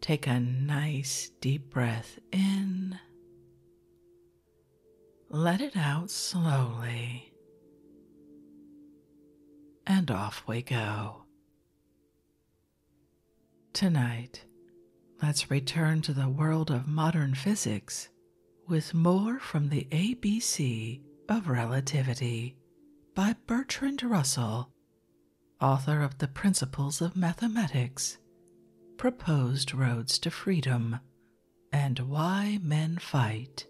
Take a nice deep breath in. Let it out slowly. And off we go. Tonight, let's return to the world of modern physics with more from the ABC of Relativity by Bertrand Russell author of the Principles of Mathematics, Proposed Roads to Freedom, and Why Men Fight,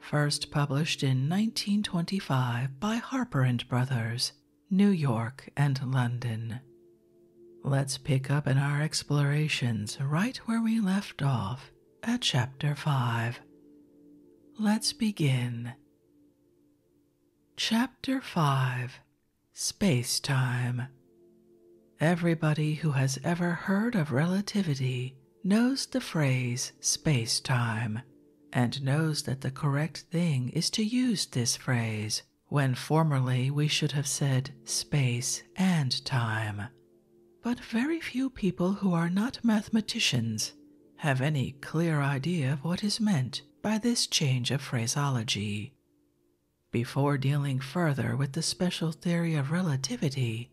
first published in 1925 by Harper and Brothers, New York and London. Let's pick up in our explorations right where we left off at Chapter 5. Let's begin. Chapter 5 Space Time Everybody who has ever heard of relativity knows the phrase space time and knows that the correct thing is to use this phrase when formerly we should have said space and time. But very few people who are not mathematicians have any clear idea of what is meant by this change of phraseology. Before dealing further with the special theory of relativity,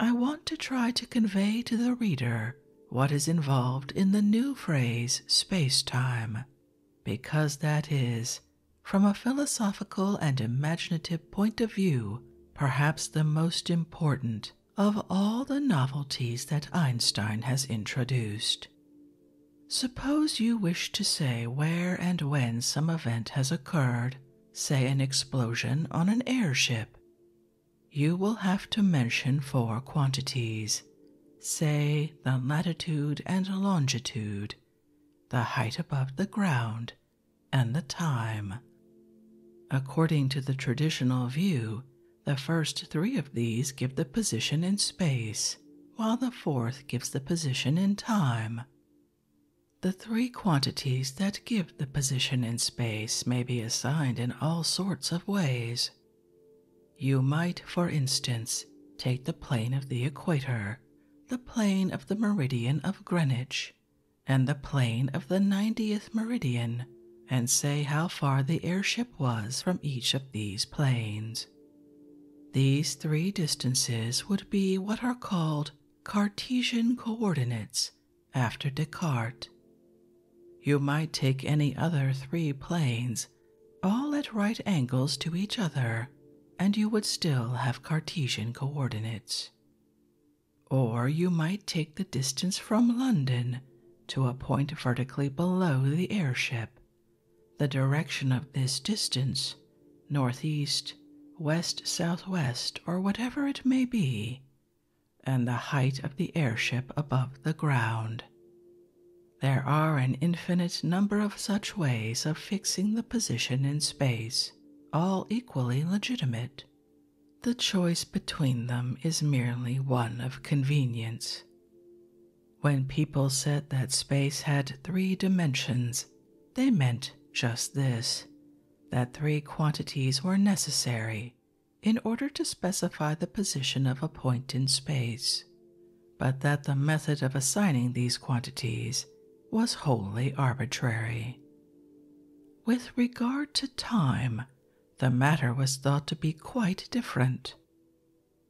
I want to try to convey to the reader what is involved in the new phrase space time, because that is, from a philosophical and imaginative point of view, perhaps the most important of all the novelties that Einstein has introduced. Suppose you wish to say where and when some event has occurred, say an explosion on an airship. You will have to mention four quantities, say the latitude and longitude, the height above the ground, and the time. According to the traditional view, the first three of these give the position in space, while the fourth gives the position in time. The three quantities that give the position in space may be assigned in all sorts of ways. You might, for instance, take the plane of the equator, the plane of the meridian of Greenwich, and the plane of the 90th meridian and say how far the airship was from each of these planes. These three distances would be what are called Cartesian coordinates after Descartes. You might take any other three planes, all at right angles to each other, and you would still have Cartesian coordinates. Or you might take the distance from London to a point vertically below the airship. The direction of this distance, northeast, west southwest, or whatever it may be, and the height of the airship above the ground. There are an infinite number of such ways of fixing the position in space, all equally legitimate. The choice between them is merely one of convenience when people said that space had three dimensions, they meant just this that three quantities were necessary in order to specify the position of a point in space, but that the method of assigning these quantities was wholly arbitrary. With regard to time, the matter was thought to be quite different.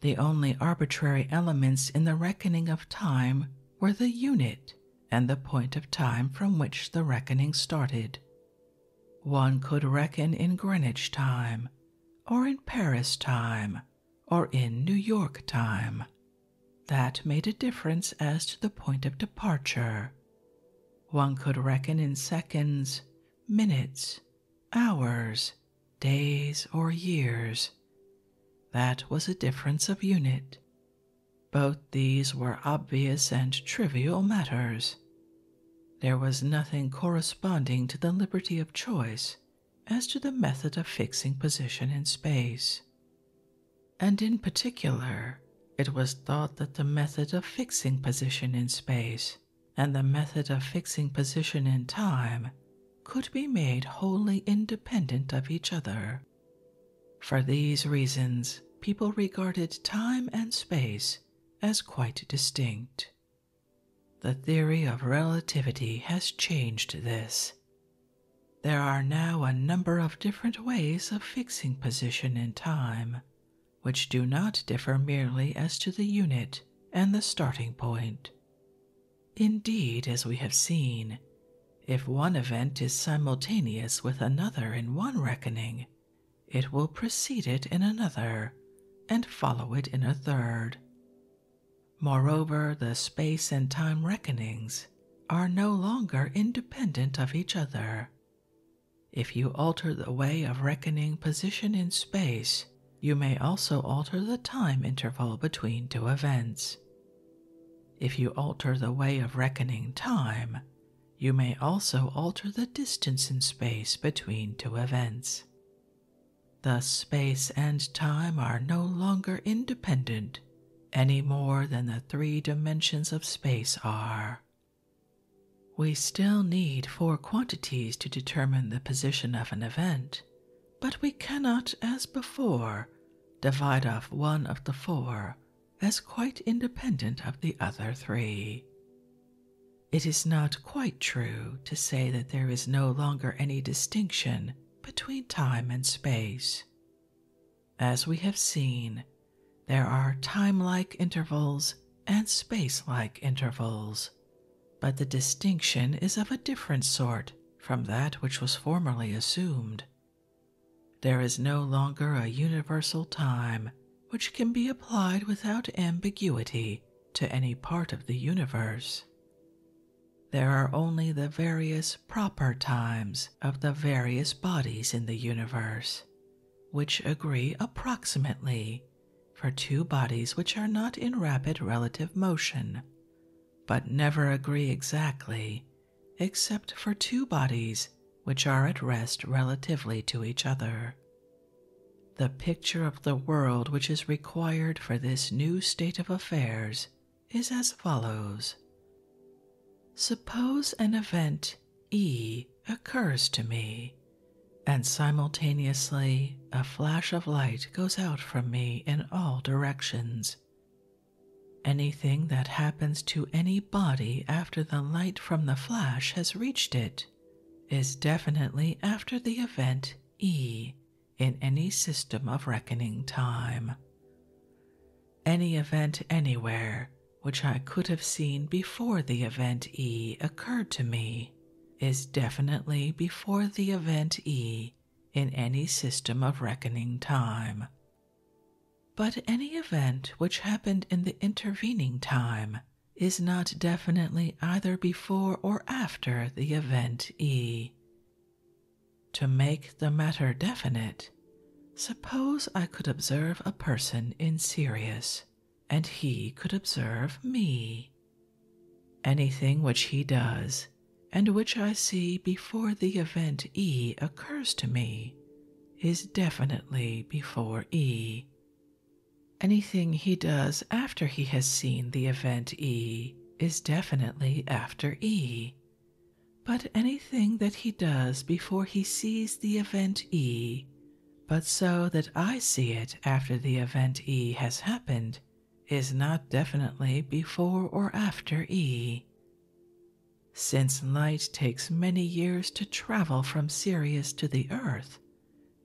The only arbitrary elements in the reckoning of time were the unit and the point of time from which the reckoning started. One could reckon in Greenwich time, or in Paris time, or in New York time. That made a difference as to the point of departure. One could reckon in seconds, minutes, hours, days, or years. That was a difference of unit. Both these were obvious and trivial matters. There was nothing corresponding to the liberty of choice as to the method of fixing position in space. And in particular, it was thought that the method of fixing position in space and the method of fixing position in time could be made wholly independent of each other. For these reasons, people regarded time and space as quite distinct. The theory of relativity has changed this. There are now a number of different ways of fixing position in time, which do not differ merely as to the unit and the starting point. Indeed, as we have seen, if one event is simultaneous with another in one reckoning, it will precede it in another and follow it in a third. Moreover, the space and time reckonings are no longer independent of each other, if you alter the way of reckoning position in space, you may also alter the time interval between two events. If you alter the way of reckoning time, you may also alter the distance in space between two events. Thus, space and time are no longer independent any more than the three dimensions of space are, we still need four quantities to determine the position of an event, but we cannot, as before, divide off one of the four as quite independent of the other three. It is not quite true to say that there is no longer any distinction between time and space. As we have seen, there are time like intervals and space like intervals but the distinction is of a different sort from that which was formerly assumed. There is no longer a universal time which can be applied without ambiguity to any part of the universe. There are only the various proper times of the various bodies in the universe, which agree approximately for two bodies which are not in rapid relative motion, but never agree exactly, except for two bodies which are at rest relatively to each other. The picture of the world which is required for this new state of affairs is as follows Suppose an event E occurs to me and simultaneously a flash of light goes out from me in all directions. Anything that happens to any body after the light from the flash has reached it is definitely after the event E in any system of reckoning time. Any event anywhere which I could have seen before the event E occurred to me is definitely before the event E in any system of reckoning time. But any event which happened in the intervening time is not definitely either before or after the event E. To make the matter definite, suppose I could observe a person in Sirius and he could observe me. Anything which he does, and which I see before the event E occurs to me, is definitely before E. Anything he does after he has seen the event E is definitely after E. But anything that he does before he sees the event E but so that I see it after the event E has happened is not definitely before or after E. Since light takes many years to travel from Sirius to the Earth,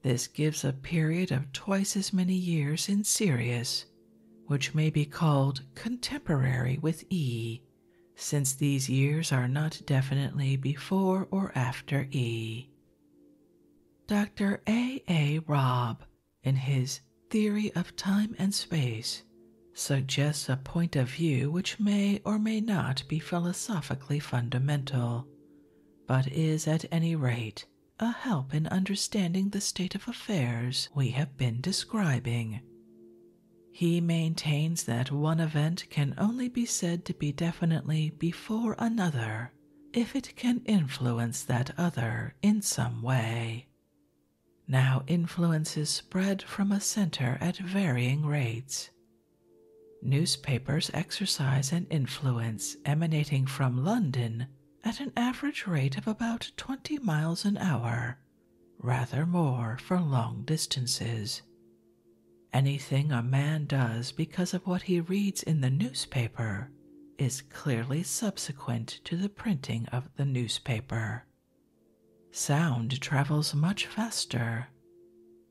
this gives a period of twice as many years in Sirius, which may be called contemporary with E, since these years are not definitely before or after E. Dr. A. A. Robb, in his Theory of Time and Space, suggests a point of view which may or may not be philosophically fundamental, but is at any rate a help in understanding the state of affairs we have been describing. He maintains that one event can only be said to be definitely before another if it can influence that other in some way. Now, influences spread from a center at varying rates. Newspapers exercise an influence emanating from London at an average rate of about 20 miles an hour, rather more for long distances. Anything a man does because of what he reads in the newspaper is clearly subsequent to the printing of the newspaper. Sound travels much faster.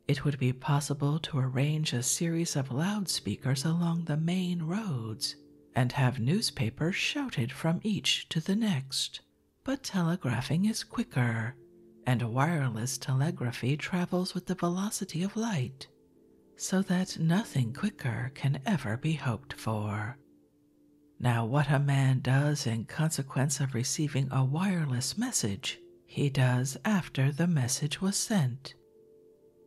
It would be possible to arrange a series of loudspeakers along the main roads and have newspapers shouted from each to the next, but telegraphing is quicker, and wireless telegraphy travels with the velocity of light so that nothing quicker can ever be hoped for. Now, what a man does in consequence of receiving a wireless message, he does after the message was sent.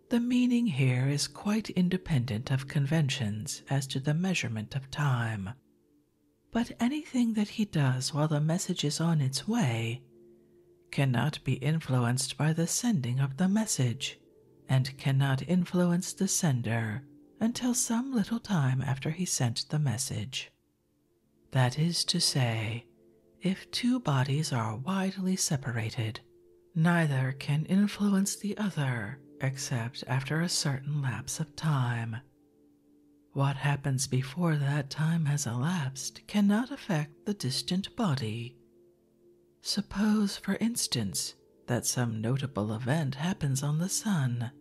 The meaning here is quite independent of conventions as to the measurement of time. But anything that he does while the message is on its way cannot be influenced by the sending of the message and cannot influence the sender until some little time after he sent the message. That is to say, if two bodies are widely separated, neither can influence the other except after a certain lapse of time. What happens before that time has elapsed cannot affect the distant body Suppose, for instance, that some notable event happens on the Sun.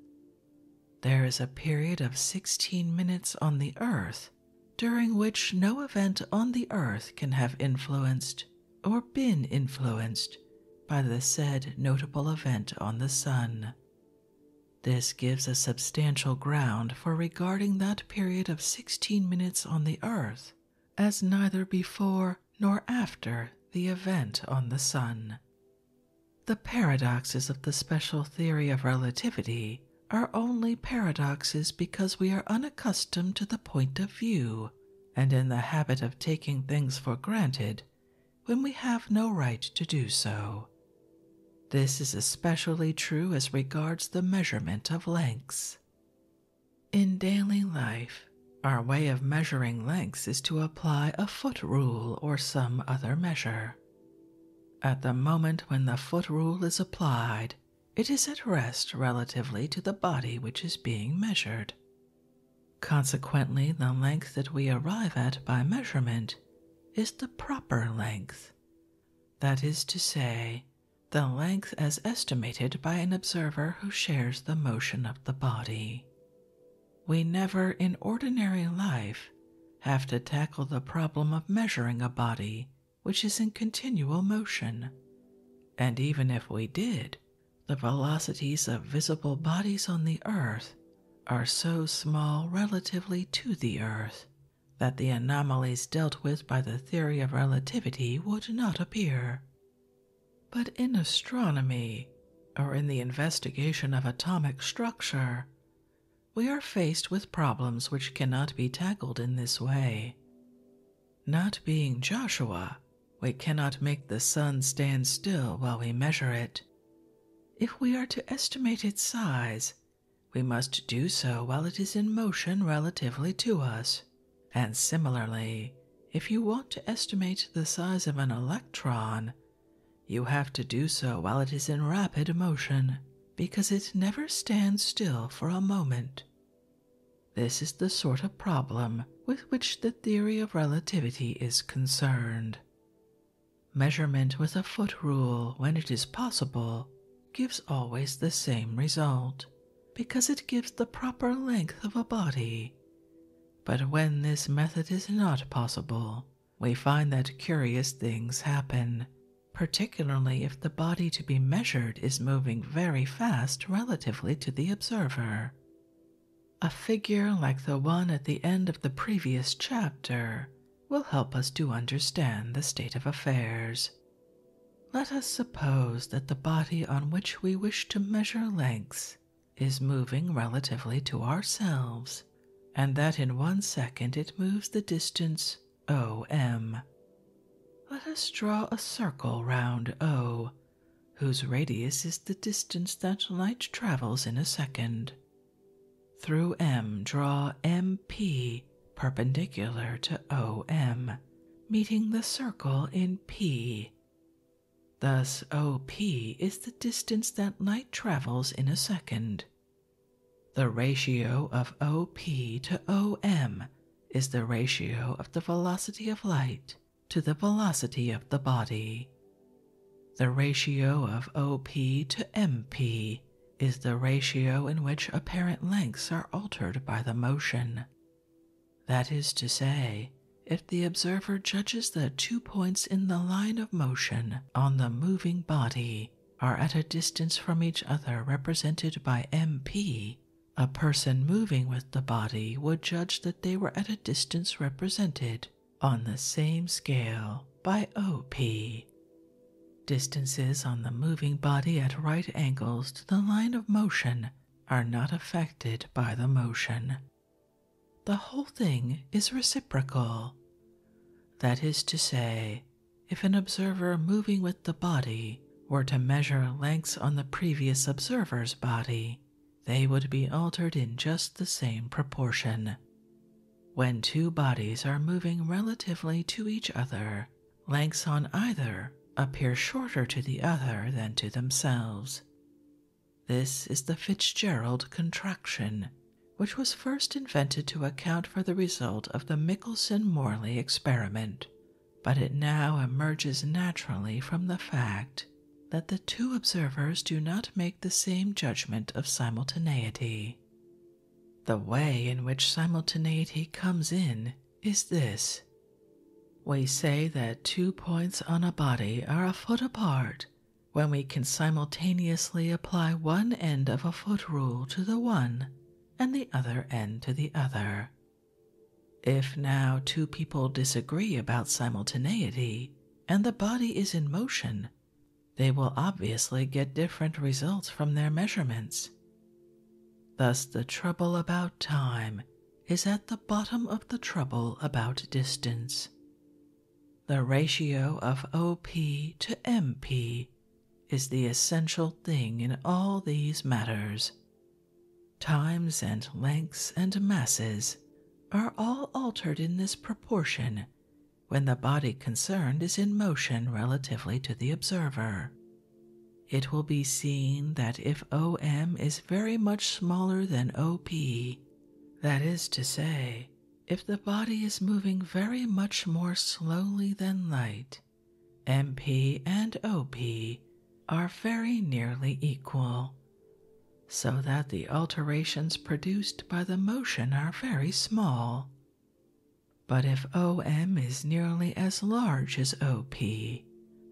There is a period of 16 minutes on the Earth during which no event on the Earth can have influenced or been influenced by the said notable event on the Sun. This gives a substantial ground for regarding that period of sixteen minutes on the earth, as neither before nor after the event on the sun. The paradoxes of the special theory of relativity are only paradoxes because we are unaccustomed to the point of view and in the habit of taking things for granted when we have no right to do so. This is especially true as regards the measurement of lengths. In daily life, our way of measuring lengths is to apply a foot rule or some other measure. At the moment when the foot rule is applied, it is at rest relatively to the body which is being measured. Consequently, the length that we arrive at by measurement is the proper length. That is to say, the length as estimated by an observer who shares the motion of the body. We never, in ordinary life, have to tackle the problem of measuring a body which is in continual motion. And even if we did, the velocities of visible bodies on the earth are so small relatively to the earth that the anomalies dealt with by the theory of relativity would not appear. But in astronomy, or in the investigation of atomic structure, we are faced with problems which cannot be tackled in this way. Not being Joshua, we cannot make the sun stand still while we measure it. If we are to estimate its size, we must do so while it is in motion relatively to us. And similarly, if you want to estimate the size of an electron, you have to do so while it is in rapid motion, because it never stands still for a moment. This is the sort of problem with which the theory of relativity is concerned. Measurement with a foot rule when it is possible gives always the same result because it gives the proper length of a body. But when this method is not possible, we find that curious things happen, particularly if the body to be measured is moving very fast relatively to the observer. A figure like the one at the end of the previous chapter will help us to understand the state of affairs. Let us suppose that the body on which we wish to measure lengths is moving relatively to ourselves, and that in one second it moves the distance OM. Let us draw a circle round O, whose radius is the distance that light travels in a second. Through M, draw MP perpendicular to OM, meeting the circle in P. Thus, OP is the distance that light travels in a second. The ratio of OP to OM is the ratio of the velocity of light to the velocity of the body. The ratio of OP to MP is the ratio in which apparent lengths are altered by the motion. That is to say, if the observer judges that two points in the line of motion on the moving body are at a distance from each other represented by MP, a person moving with the body would judge that they were at a distance represented on the same scale by OP, Distances on the moving body at right angles to the line of motion are not affected by the motion. The whole thing is reciprocal. That is to say, if an observer moving with the body were to measure lengths on the previous observer's body, they would be altered in just the same proportion. When two bodies are moving relatively to each other lengths on either appear shorter to the other than to themselves. This is the Fitzgerald contraction, which was first invented to account for the result of the Michelson Morley experiment, but it now emerges naturally from the fact that the two observers do not make the same judgment of simultaneity. The way in which simultaneity comes in is this we say that two points on a body are a foot apart when we can simultaneously apply one end of a foot rule to the one and the other end to the other. If now two people disagree about simultaneity and the body is in motion, they will obviously get different results from their measurements Thus, the trouble about time is at the bottom of the trouble about distance. The ratio of OP to MP is the essential thing in all these matters. Times and lengths and masses are all altered in this proportion when the body concerned is in motion relatively to the observer. It will be seen that if OM is very much smaller than OP, that is to say, if the body is moving very much more slowly than light, MP and OP are very nearly equal, so that the alterations produced by the motion are very small. But if OM is nearly as large as OP,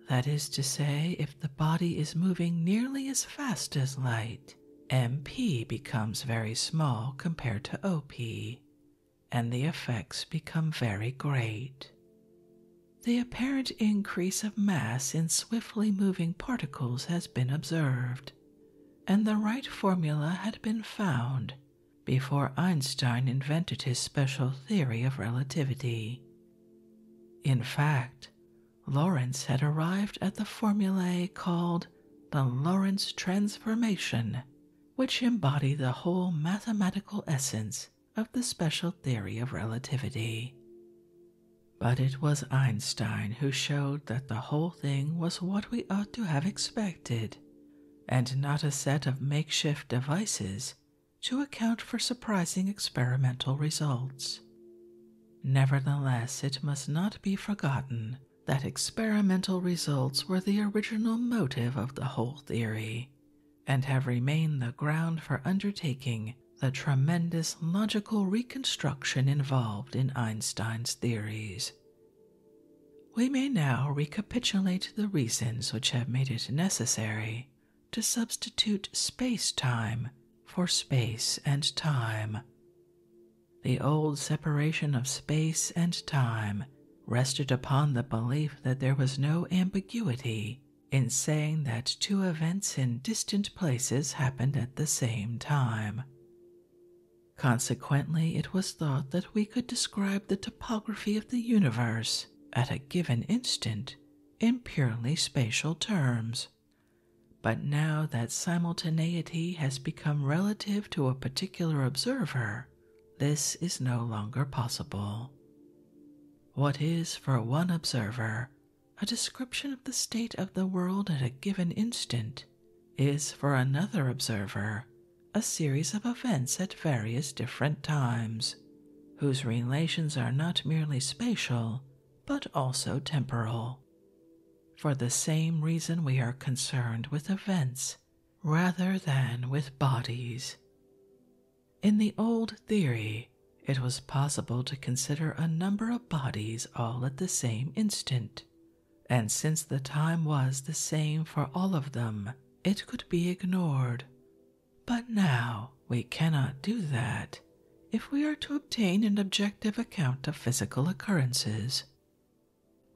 that is to say, if the body is moving nearly as fast as light, MP becomes very small compared to OP, and the effects become very great. The apparent increase of mass in swiftly moving particles has been observed, and the right formula had been found before Einstein invented his special theory of relativity. In fact, Lawrence had arrived at the formulae called the Lawrence transformation, which embody the whole mathematical essence of the special theory of relativity. But it was Einstein who showed that the whole thing was what we ought to have expected and not a set of makeshift devices to account for surprising experimental results. Nevertheless, it must not be forgotten that experimental results were the original motive of the whole theory, and have remained the ground for undertaking the tremendous logical reconstruction involved in Einstein's theories, we may now recapitulate the reasons which have made it necessary to substitute space time for space and time. The old separation of space and time rested upon the belief that there was no ambiguity in saying that two events in distant places happened at the same time. Consequently, it was thought that we could describe the topography of the universe at a given instant in purely spatial terms. But now that simultaneity has become relative to a particular observer, this is no longer possible. What is for one observer a description of the state of the world at a given instant is for another observer a series of events at various different times, whose relations are not merely spatial but also temporal. For the same reason, we are concerned with events rather than with bodies. In the old theory, it was possible to consider a number of bodies all at the same instant, and since the time was the same for all of them, it could be ignored. But now we cannot do that if we are to obtain an objective account of physical occurrences.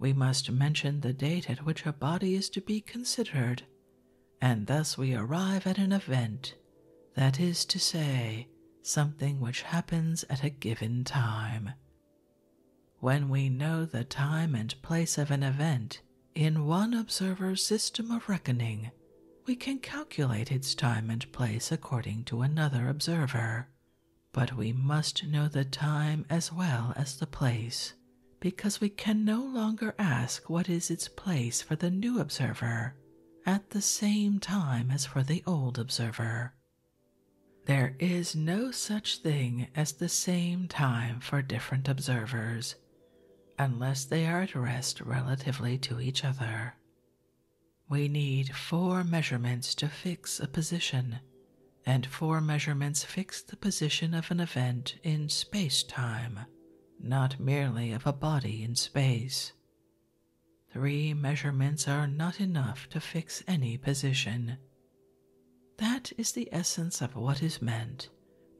We must mention the date at which a body is to be considered, and thus we arrive at an event, that is to say, something which happens at a given time. When we know the time and place of an event in one observer's system of reckoning, we can calculate its time and place according to another observer. But we must know the time as well as the place, because we can no longer ask what is its place for the new observer at the same time as for the old observer. There is no such thing as the same time for different observers, unless they are at rest relatively to each other. We need four measurements to fix a position, and four measurements fix the position of an event in space time, not merely of a body in space. Three measurements are not enough to fix any position, that is the essence of what is meant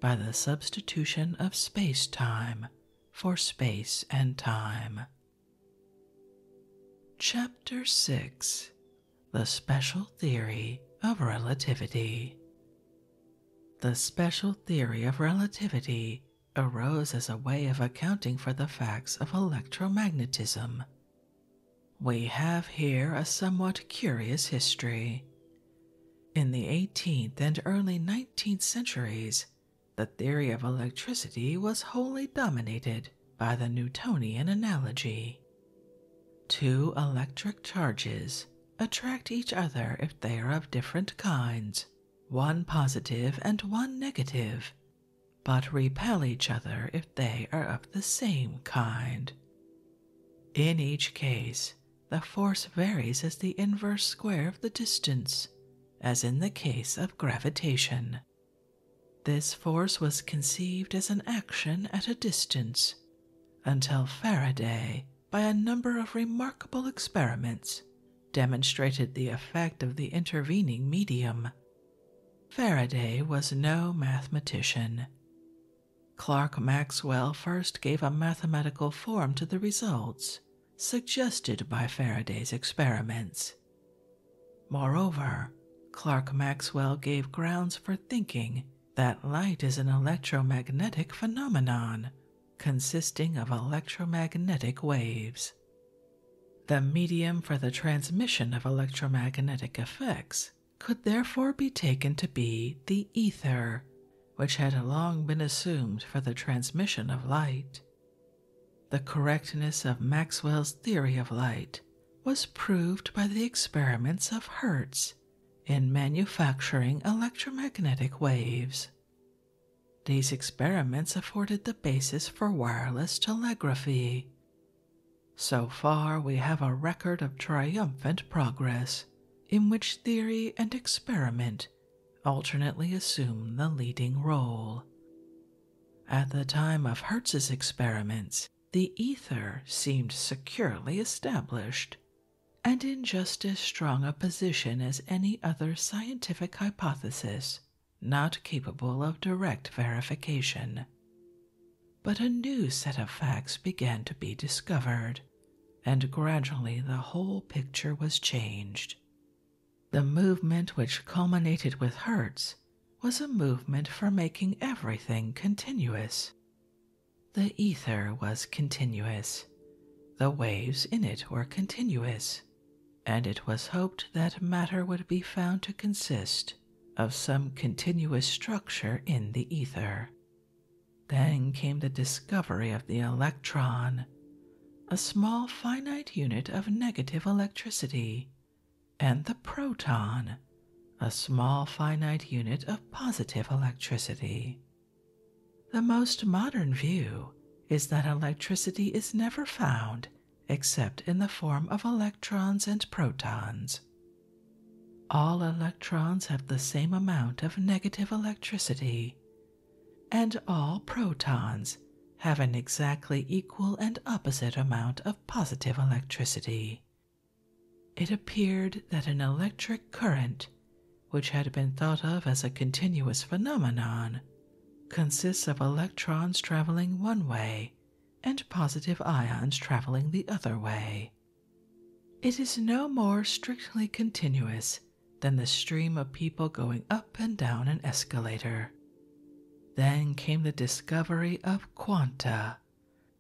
by the substitution of space time for space and time. Chapter 6 The Special Theory of Relativity. The special theory of relativity arose as a way of accounting for the facts of electromagnetism. We have here a somewhat curious history, in the 18th and early 19th centuries, the theory of electricity was wholly dominated by the Newtonian analogy. Two electric charges attract each other if they are of different kinds, one positive and one negative, but repel each other if they are of the same kind. In each case, the force varies as the inverse square of the distance, as in the case of gravitation. This force was conceived as an action at a distance until Faraday, by a number of remarkable experiments, demonstrated the effect of the intervening medium. Faraday was no mathematician. Clark Maxwell first gave a mathematical form to the results suggested by Faraday's experiments. Moreover, Clark Maxwell gave grounds for thinking that light is an electromagnetic phenomenon consisting of electromagnetic waves. The medium for the transmission of electromagnetic effects could therefore be taken to be the ether, which had long been assumed for the transmission of light. The correctness of Maxwell's theory of light was proved by the experiments of Hertz in manufacturing electromagnetic waves. These experiments afforded the basis for wireless telegraphy. So far, we have a record of triumphant progress in which theory and experiment alternately assume the leading role. At the time of Hertz's experiments, the ether seemed securely established and in just as strong a position as any other scientific hypothesis not capable of direct verification. But a new set of facts began to be discovered, and gradually the whole picture was changed. The movement which culminated with Hertz was a movement for making everything continuous. The ether was continuous, the waves in it were continuous, and it was hoped that matter would be found to consist of some continuous structure in the ether, then came the discovery of the electron, a small finite unit of negative electricity, and the proton, a small finite unit of positive electricity. The most modern view is that electricity is never found except in the form of electrons and protons all electrons have the same amount of negative electricity, and all protons have an exactly equal and opposite amount of positive electricity. It appeared that an electric current, which had been thought of as a continuous phenomenon, consists of electrons traveling one way and positive ions traveling the other way. It is no more strictly continuous than the stream of people going up and down an escalator. Then came the discovery of quanta,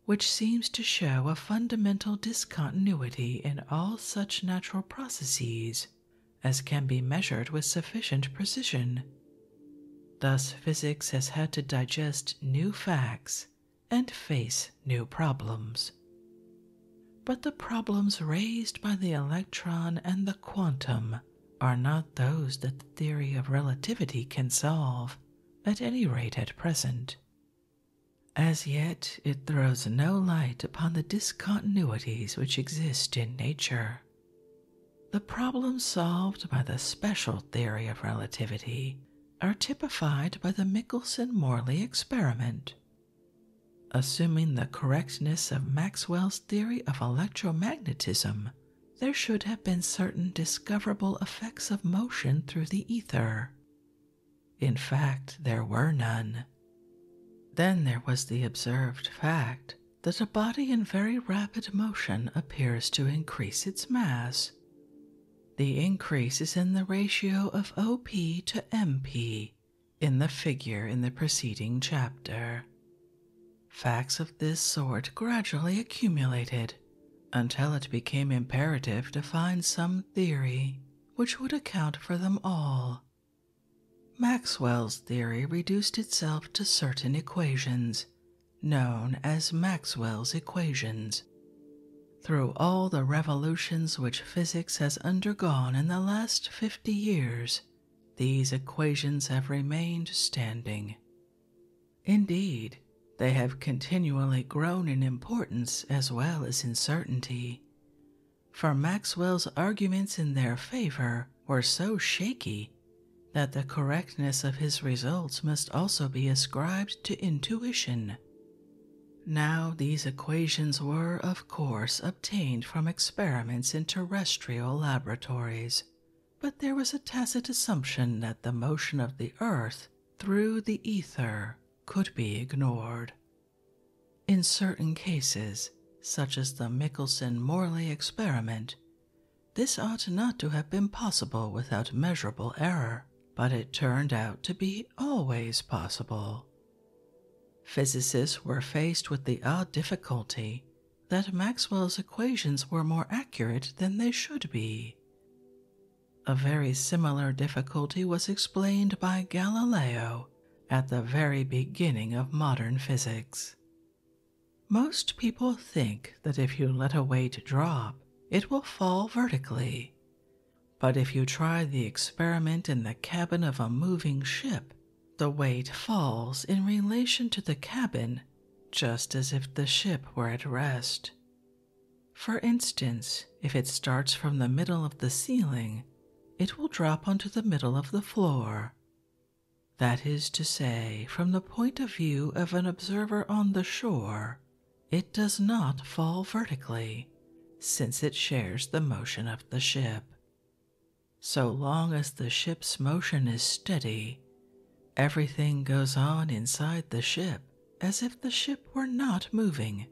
which seems to show a fundamental discontinuity in all such natural processes as can be measured with sufficient precision. Thus, physics has had to digest new facts and face new problems. But the problems raised by the electron and the quantum are not those that the theory of relativity can solve, at any rate at present. As yet, it throws no light upon the discontinuities which exist in nature. The problem solved by the special theory of relativity are typified by the Michelson Morley experiment. Assuming the correctness of Maxwell's theory of electromagnetism, there should have been certain discoverable effects of motion through the ether. In fact, there were none. Then there was the observed fact that a body in very rapid motion appears to increase its mass, the increase is in the ratio of OP to MP in the figure in the preceding chapter. Facts of this sort gradually accumulated until it became imperative to find some theory which would account for them all. Maxwell's theory reduced itself to certain equations known as Maxwell's equations, through all the revolutions which physics has undergone in the last 50 years, these equations have remained standing. Indeed, they have continually grown in importance as well as in certainty, for Maxwell's arguments in their favor were so shaky that the correctness of his results must also be ascribed to intuition, now, these equations were, of course, obtained from experiments in terrestrial laboratories, but there was a tacit assumption that the motion of the Earth through the ether could be ignored. In certain cases, such as the Michelson Morley experiment, this ought not to have been possible without measurable error, but it turned out to be always possible. Physicists were faced with the odd difficulty that Maxwell's equations were more accurate than they should be. A very similar difficulty was explained by Galileo at the very beginning of modern physics. Most people think that if you let a weight drop, it will fall vertically, but if you try the experiment in the cabin of a moving ship, the weight falls in relation to the cabin just as if the ship were at rest. For instance, if it starts from the middle of the ceiling, it will drop onto the middle of the floor. That is to say, from the point of view of an observer on the shore, it does not fall vertically, since it shares the motion of the ship. So long as the ship's motion is steady, everything goes on inside the ship as if the ship were not moving.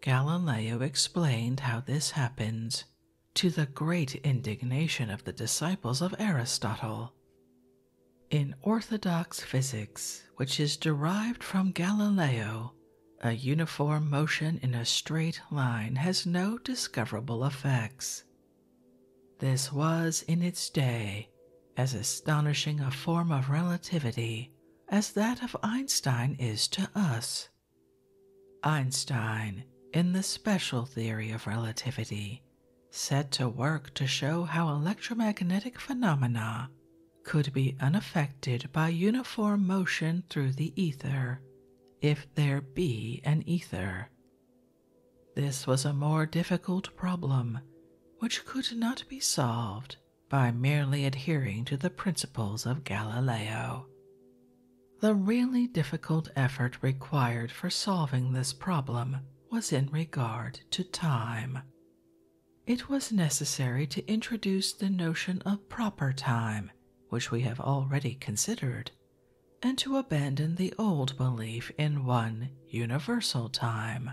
Galileo explained how this happens, to the great indignation of the disciples of Aristotle. In orthodox physics, which is derived from Galileo, a uniform motion in a straight line has no discoverable effects. This was, in its day, as astonishing a form of relativity as that of Einstein is to us. Einstein, in the special theory of relativity, set to work to show how electromagnetic phenomena could be unaffected by uniform motion through the ether, if there be an ether. This was a more difficult problem, which could not be solved by merely adhering to the principles of Galileo. The really difficult effort required for solving this problem was in regard to time. It was necessary to introduce the notion of proper time, which we have already considered, and to abandon the old belief in one universal time.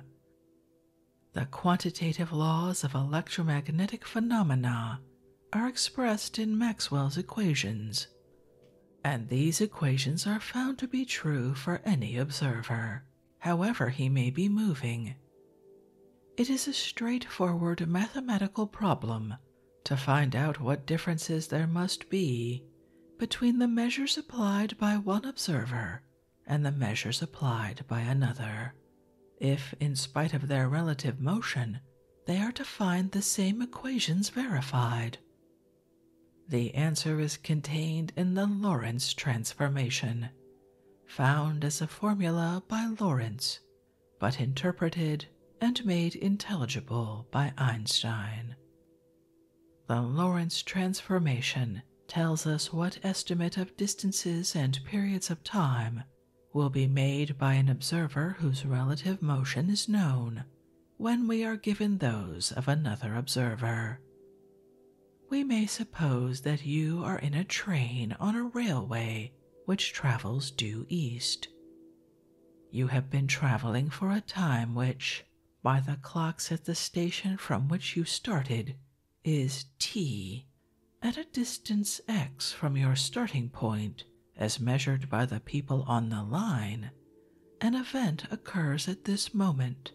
The quantitative laws of electromagnetic phenomena are expressed in Maxwell's equations, and these equations are found to be true for any observer however he may be moving. It is a straightforward mathematical problem to find out what differences there must be between the measures applied by one observer and the measures applied by another, if, in spite of their relative motion, they are to find the same equations verified. The answer is contained in the Lorentz transformation, found as a formula by Lorentz, but interpreted and made intelligible by Einstein. The Lorentz transformation tells us what estimate of distances and periods of time will be made by an observer whose relative motion is known when we are given those of another observer. We may suppose that you are in a train on a railway which travels due east. You have been traveling for a time which, by the clocks at the station from which you started, is t at a distance x from your starting point as measured by the people on the line. An event occurs at this moment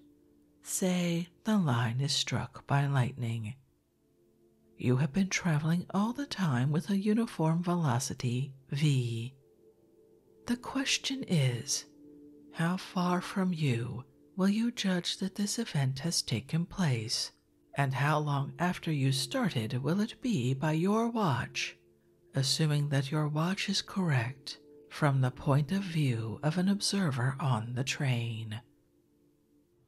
Say the line is struck by lightning. You have been traveling all the time with a uniform velocity v. The question is how far from you will you judge that this event has taken place, and how long after you started will it be by your watch, assuming that your watch is correct from the point of view of an observer on the train?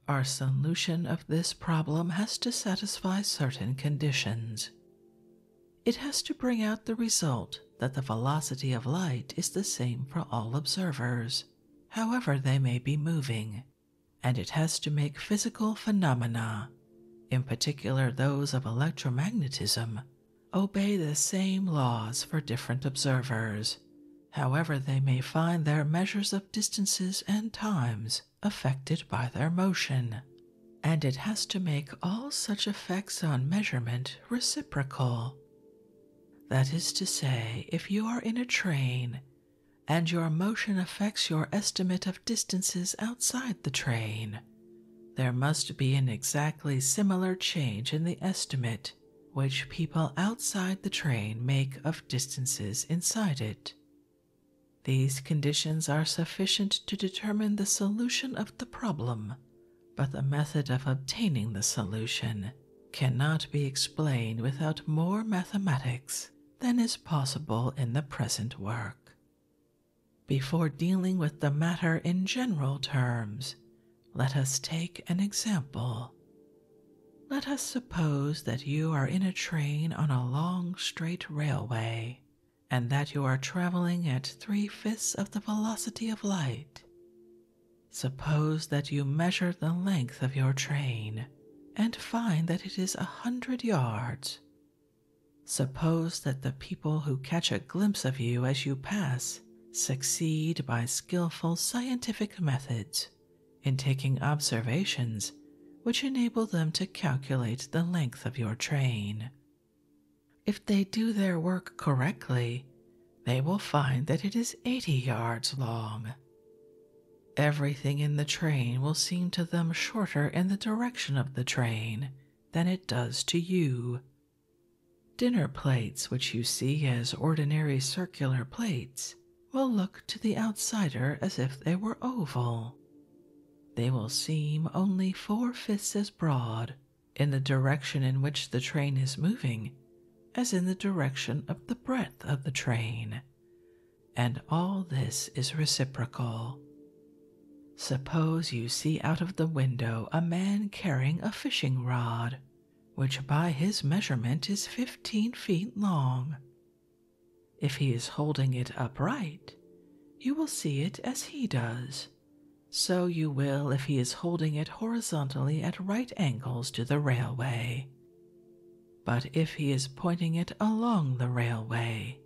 Our solution of this problem has to satisfy certain conditions. It has to bring out the result that the velocity of light is the same for all observers, however they may be moving, and it has to make physical phenomena, in particular those of electromagnetism, obey the same laws for different observers however they may find their measures of distances and times affected by their motion, and it has to make all such effects on measurement reciprocal. That is to say, if you are in a train and your motion affects your estimate of distances outside the train, there must be an exactly similar change in the estimate which people outside the train make of distances inside it. These conditions are sufficient to determine the solution of the problem, but the method of obtaining the solution cannot be explained without more mathematics than is possible in the present work. Before dealing with the matter in general terms, let us take an example. Let us suppose that you are in a train on a long straight railway, and that you are traveling at three fifths of the velocity of light. Suppose that you measure the length of your train and find that it is a hundred yards. Suppose that the people who catch a glimpse of you as you pass succeed by skillful scientific methods in taking observations which enable them to calculate the length of your train. If they do their work correctly, they will find that it is 80 yards long. Everything in the train will seem to them shorter in the direction of the train than it does to you, Dinner plates, which you see as ordinary circular plates, will look to the outsider as if they were oval. They will seem only four fifths as broad in the direction in which the train is moving as in the direction of the breadth of the train, and all this is reciprocal. Suppose you see out of the window a man carrying a fishing rod which by his measurement is fifteen feet long. If he is holding it upright, you will see it as he does. So you will if he is holding it horizontally at right angles to the railway. But if he is pointing it along the railway,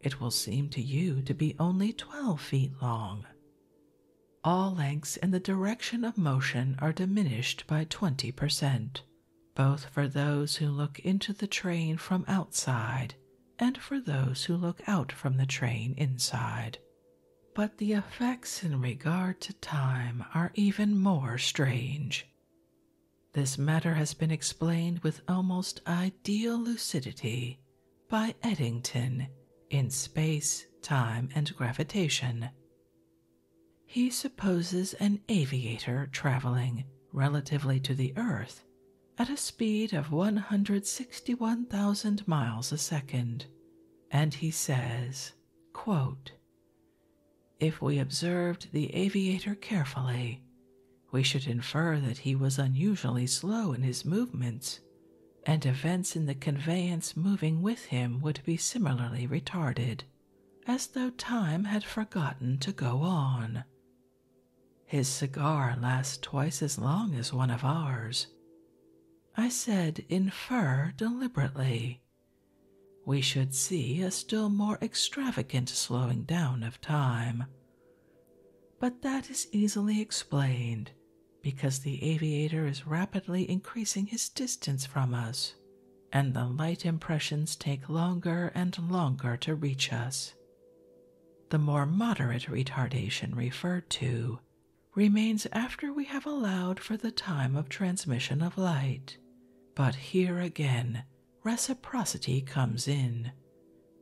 it will seem to you to be only twelve feet long all lengths in the direction of motion are diminished by 20%, both for those who look into the train from outside and for those who look out from the train inside. But the effects in regard to time are even more strange. This matter has been explained with almost ideal lucidity by Eddington in Space, Time, and Gravitation he supposes an aviator traveling relatively to the Earth at a speed of 161,000 miles a second, and he says, If we observed the aviator carefully, we should infer that he was unusually slow in his movements and events in the conveyance moving with him would be similarly retarded, as though time had forgotten to go on. His cigar lasts twice as long as one of ours. I said infer deliberately. We should see a still more extravagant slowing down of time. But that is easily explained because the aviator is rapidly increasing his distance from us, and the light impressions take longer and longer to reach us. The more moderate retardation referred to remains after we have allowed for the time of transmission of light, but here again reciprocity comes in,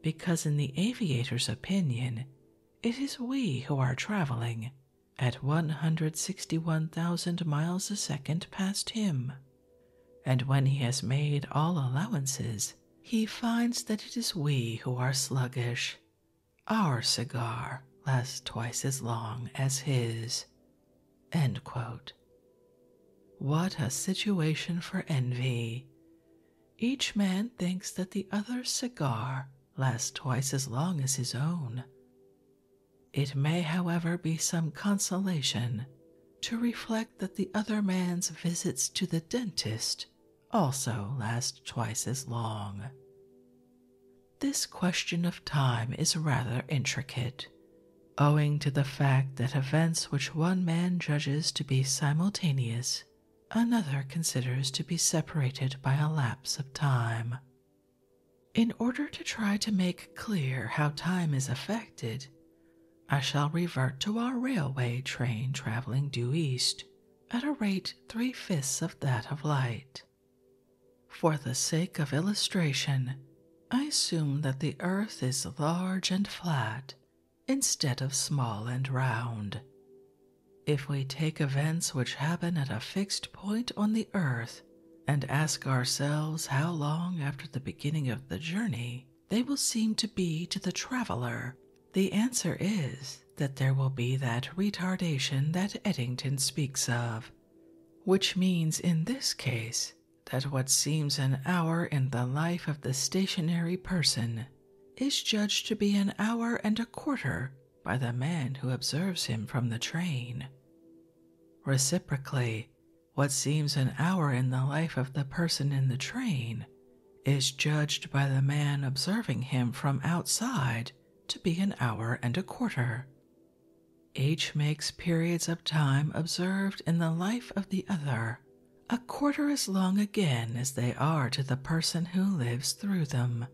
because in the aviator's opinion, it is we who are traveling at 161,000 miles a second past him. And when he has made all allowances, he finds that it is we who are sluggish. Our cigar lasts twice as long as his. What a situation for envy! Each man thinks that the other's cigar lasts twice as long as his own, it may, however, be some consolation to reflect that the other man's visits to the dentist also last twice as long. This question of time is rather intricate, owing to the fact that events which one man judges to be simultaneous, another considers to be separated by a lapse of time. In order to try to make clear how time is affected, I shall revert to our railway train traveling due east at a rate three fifths of that of light. For the sake of illustration, I assume that the earth is large and flat instead of small and round. If we take events which happen at a fixed point on the earth and ask ourselves how long after the beginning of the journey they will seem to be to the traveler, the answer is that there will be that retardation that Eddington speaks of, which means in this case that what seems an hour in the life of the stationary person is judged to be an hour and a quarter by the man who observes him from the train. Reciprocally, what seems an hour in the life of the person in the train is judged by the man observing him from outside to be an hour and a quarter. Each makes periods of time observed in the life of the other a quarter as long again as they are to the person who lives through them.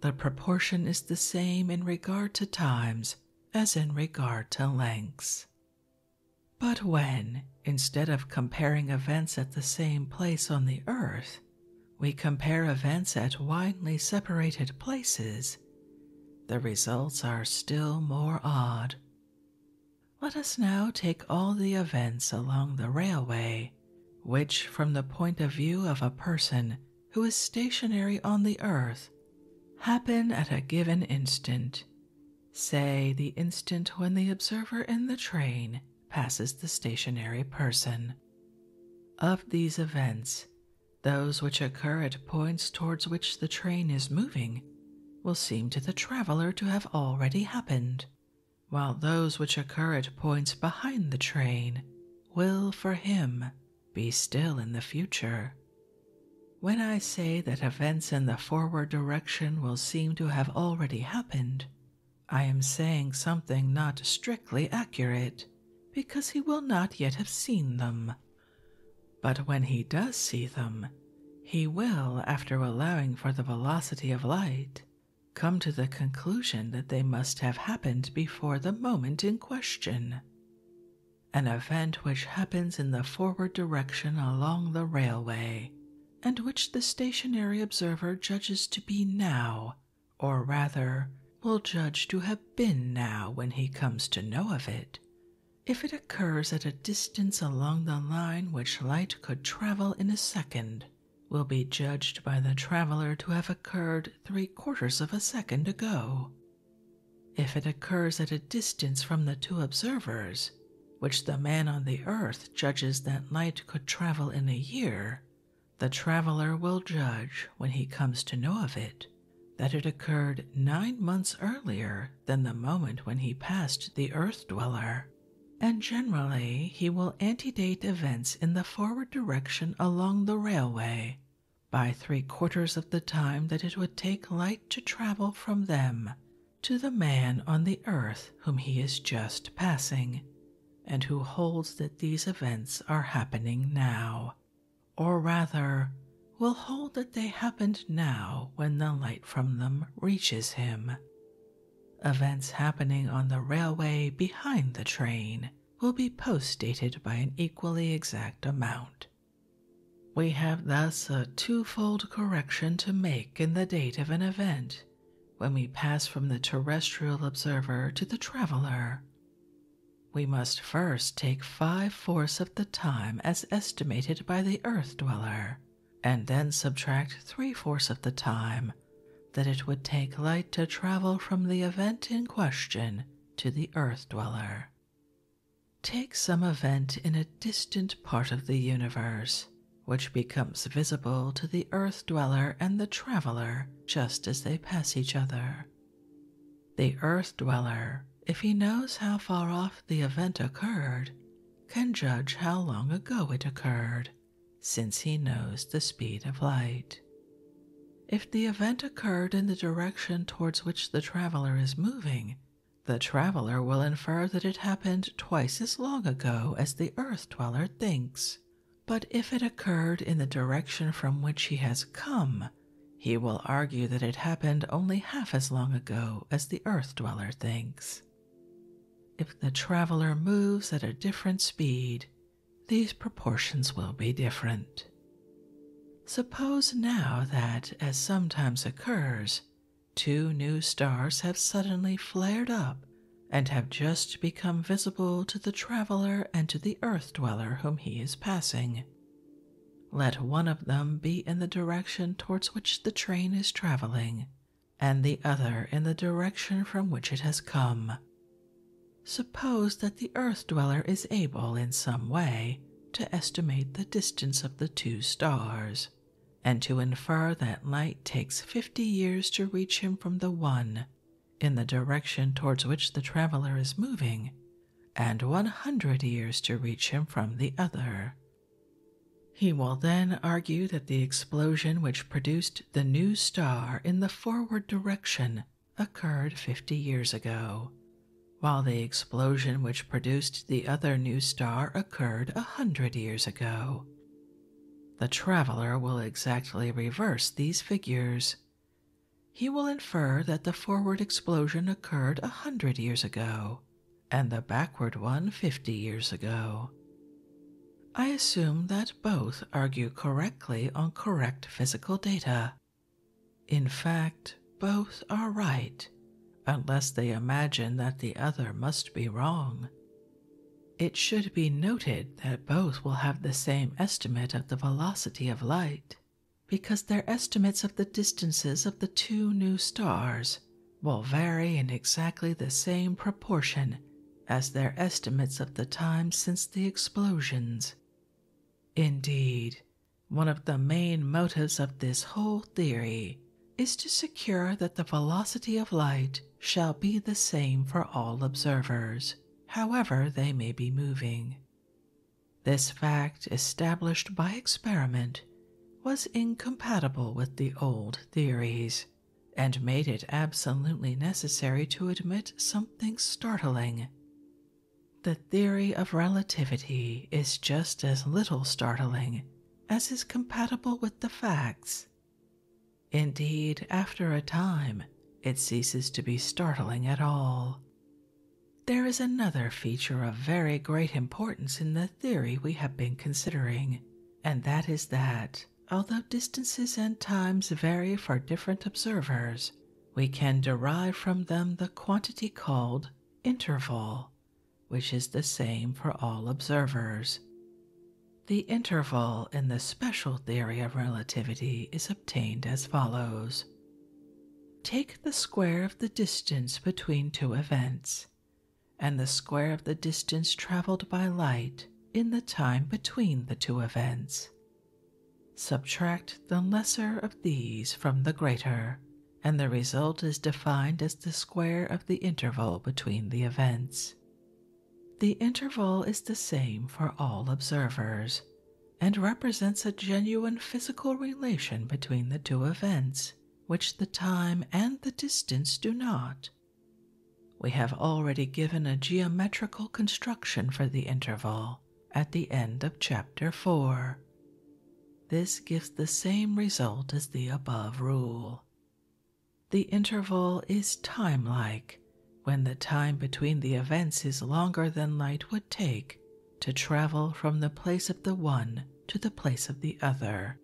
The proportion is the same in regard to times as in regard to lengths. But when, instead of comparing events at the same place on the earth, we compare events at widely separated places, the results are still more odd. Let us now take all the events along the railway which, from the point of view of a person who is stationary on the earth, happen at a given instant, say the instant when the observer in the train passes the stationary person. Of these events, those which occur at points towards which the train is moving will seem to the traveler to have already happened, while those which occur at points behind the train will for him be still in the future. When I say that events in the forward direction will seem to have already happened, I am saying something not strictly accurate, because he will not yet have seen them. But when he does see them, he will, after allowing for the velocity of light, come to the conclusion that they must have happened before the moment in question. An event which happens in the forward direction along the railway, and which the stationary observer judges to be now, or rather, will judge to have been now when he comes to know of it, if it occurs at a distance along the line which light could travel in a second will be judged by the traveler to have occurred three quarters of a second ago. If it occurs at a distance from the two observers, which the man on the earth judges that light could travel in a year, the traveler will judge, when he comes to know of it, that it occurred nine months earlier than the moment when he passed the earth dweller, and generally he will antedate events in the forward direction along the railway by three quarters of the time that it would take light to travel from them to the man on the earth whom he is just passing, and who holds that these events are happening now, or rather, will hold that they happened now when the light from them reaches him. Events happening on the railway behind the train will be postdated by an equally exact amount. We have thus a twofold correction to make in the date of an event when we pass from the terrestrial observer to the traveler. We must first take five fourths of the time as estimated by the earth dweller, and then subtract three fourths of the time that it would take light to travel from the event in question to the Earth dweller. Take some event in a distant part of the universe, which becomes visible to the Earth dweller and the traveler just as they pass each other. The Earth dweller, if he knows how far off the event occurred, can judge how long ago it occurred, since he knows the speed of light. If the event occurred in the direction towards which the traveler is moving, the traveler will infer that it happened twice as long ago as the earth dweller thinks. But if it occurred in the direction from which he has come, he will argue that it happened only half as long ago as the earth dweller thinks. If the traveler moves at a different speed, these proportions will be different. Suppose now that, as sometimes occurs, two new stars have suddenly flared up and have just become visible to the traveler and to the earth dweller whom he is passing. Let one of them be in the direction towards which the train is traveling, and the other in the direction from which it has come. Suppose that the Earth dweller is able in some way to estimate the distance of the two stars, and to infer that light takes fifty years to reach him from the one in the direction towards which the traveler is moving, and one hundred years to reach him from the other. He will then argue that the explosion which produced the new star in the forward direction occurred 50 years ago, while the explosion which produced the other new star occurred a 100 years ago. The traveler will exactly reverse these figures. He will infer that the forward explosion occurred a 100 years ago and the backward one fifty years ago. I assume that both argue correctly on correct physical data. In fact, both are right, unless they imagine that the other must be wrong. It should be noted that both will have the same estimate of the velocity of light, because their estimates of the distances of the two new stars will vary in exactly the same proportion as their estimates of the time since the explosions Indeed, one of the main motives of this whole theory is to secure that the velocity of light shall be the same for all observers, however they may be moving. This fact, established by experiment, was incompatible with the old theories and made it absolutely necessary to admit something startling the theory of relativity is just as little startling as is compatible with the facts. Indeed, after a time, it ceases to be startling at all. There is another feature of very great importance in the theory we have been considering, and that is that, although distances and times vary for different observers, we can derive from them the quantity called interval, which is the same for all observers. The interval in the special theory of relativity is obtained as follows. Take the square of the distance between two events and the square of the distance traveled by light in the time between the two events. Subtract the lesser of these from the greater, and the result is defined as the square of the interval between the events. The interval is the same for all observers and represents a genuine physical relation between the two events, which the time and the distance do not. We have already given a geometrical construction for the interval at the end of chapter 4. This gives the same result as the above rule. The interval is timelike when the time between the events is longer than light would take to travel from the place of the one to the place of the other.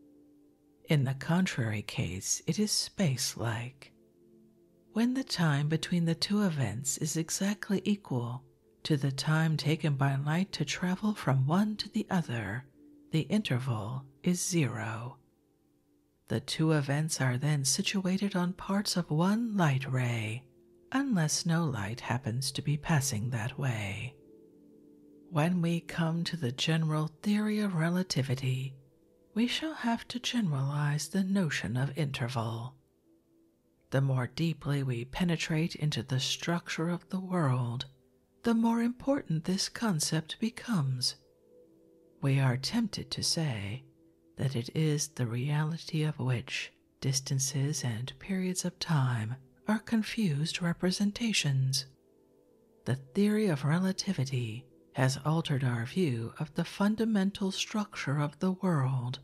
In the contrary case, it is space like. When the time between the two events is exactly equal to the time taken by light to travel from one to the other, the interval is zero. The two events are then situated on parts of one light ray, unless no light happens to be passing that way. When we come to the general theory of relativity, we shall have to generalize the notion of interval the more deeply we penetrate into the structure of the world, the more important this concept becomes. We are tempted to say that it is the reality of which distances and periods of time are confused representations. The theory of relativity has altered our view of the fundamental structure of the world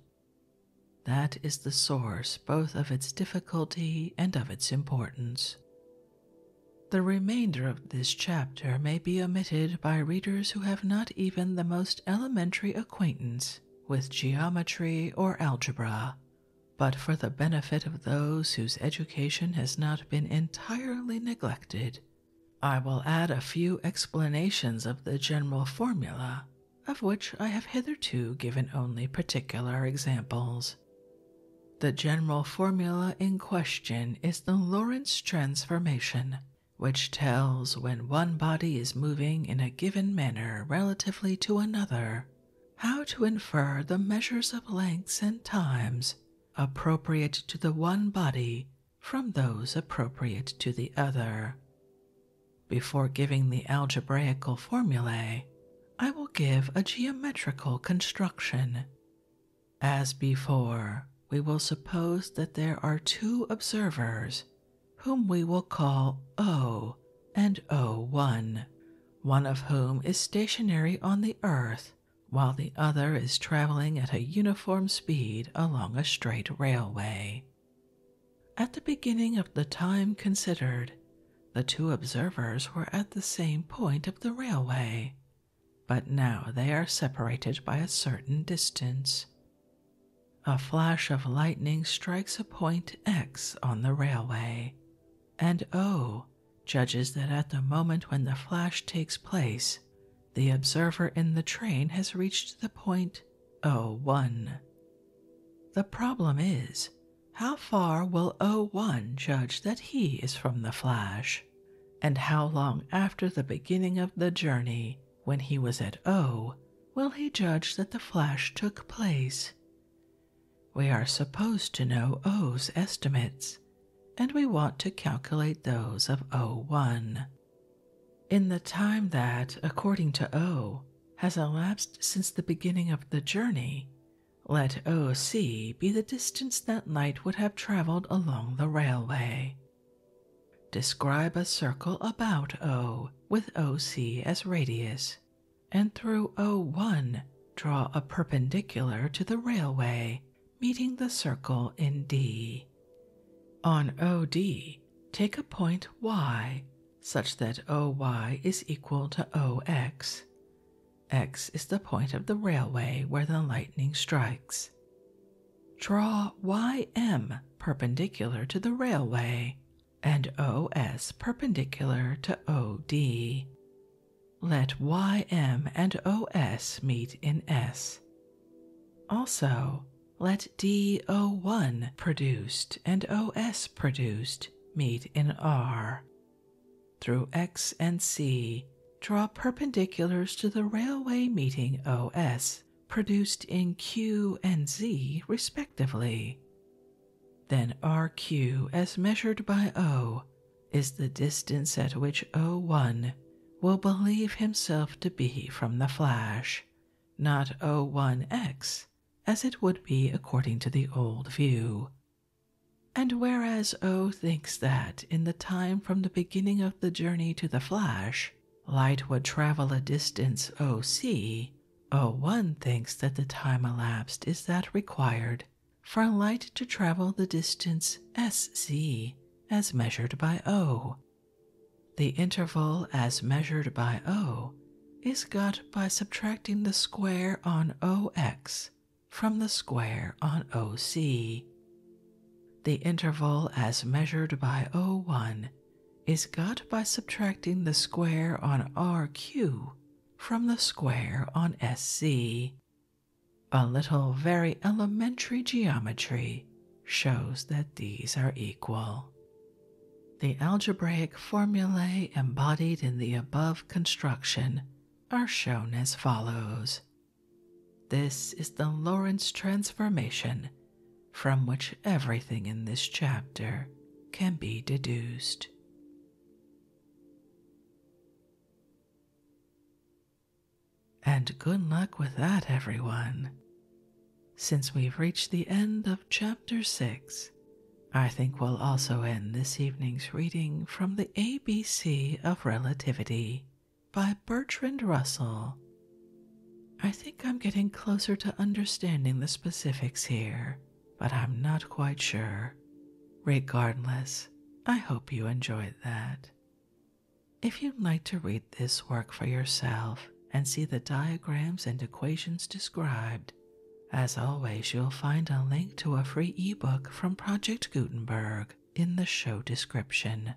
that is the source both of its difficulty and of its importance. The remainder of this chapter may be omitted by readers who have not even the most elementary acquaintance with geometry or algebra, but for the benefit of those whose education has not been entirely neglected I will add a few explanations of the general formula, of which I have hitherto given only particular examples. The general formula in question is the Lorentz transformation, which tells when one body is moving in a given manner relatively to another how to infer the measures of lengths and times appropriate to the one body from those appropriate to the other. Before giving the algebraical formulae, I will give a geometrical construction. As before, we will suppose that there are two observers whom we will call O and O1, one of whom is stationary on the earth while the other is traveling at a uniform speed along a straight railway. At the beginning of the time considered, the two observers were at the same point of the railway, but now they are separated by a certain distance. A flash of lightning strikes a point X on the railway, and O judges that at the moment when the flash takes place, the observer in the train has reached the point point O1. The problem is how far will 0 01 judge that he is from the flash, and how long after the beginning of the journey, when he was at O, will he judge that the flash took place? We are supposed to know O's estimates, and we want to calculate those of O1. In the time that, according to O, has elapsed since the beginning of the journey, let OC be the distance that light would have traveled along the railway. Describe a circle about O with OC as radius, and through O1 draw a perpendicular to the railway meeting the circle in D. On OD, take a point Y such that OY is equal to OX. X is the point of the railway where the lightning strikes. Draw YM perpendicular to the railway and OS perpendicular to OD. Let YM and OS meet in S. Also, let DO1 produced and OS produced meet in R. Through X and C, draw perpendiculars to the railway meeting OS produced in Q and Z respectively. Then RQ as measured by O is the distance at which O1 will believe himself to be from the flash not O1x, as it would be according to the old view. And whereas O thinks that in the time from the beginning of the journey to the flash, light would travel a distance o c, o one thinks that the time elapsed is that required for light to travel the distance s z as measured by O. The interval as measured by O is got by subtracting the square on OX from the square on OC. The interval as measured by O1 is got by subtracting the square on RQ from the square on SC. A little very elementary geometry shows that these are equal. The algebraic formulae embodied in the above construction are shown as follows. This is the Lorentz transformation from which everything in this chapter can be deduced. And good luck with that, everyone. Since we've reached the end of chapter 6, I think we'll also end this evening's reading from The ABC of Relativity by Bertrand Russell. I think I'm getting closer to understanding the specifics here, but I'm not quite sure. Regardless, I hope you enjoyed that. If you'd like to read this work for yourself and see the diagrams and equations described, as always, you'll find a link to a free ebook from Project Gutenberg in the show description.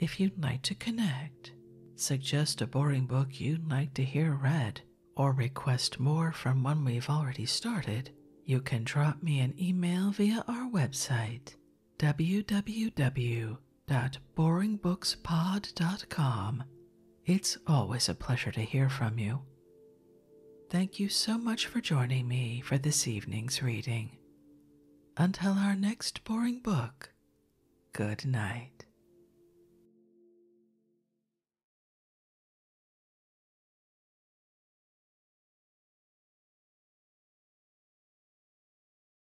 If you'd like to connect, suggest a boring book you'd like to hear read, or request more from one we've already started, you can drop me an email via our website www at boringbookspod.com. It's always a pleasure to hear from you. Thank you so much for joining me for this evening's reading. Until our next boring book, good night.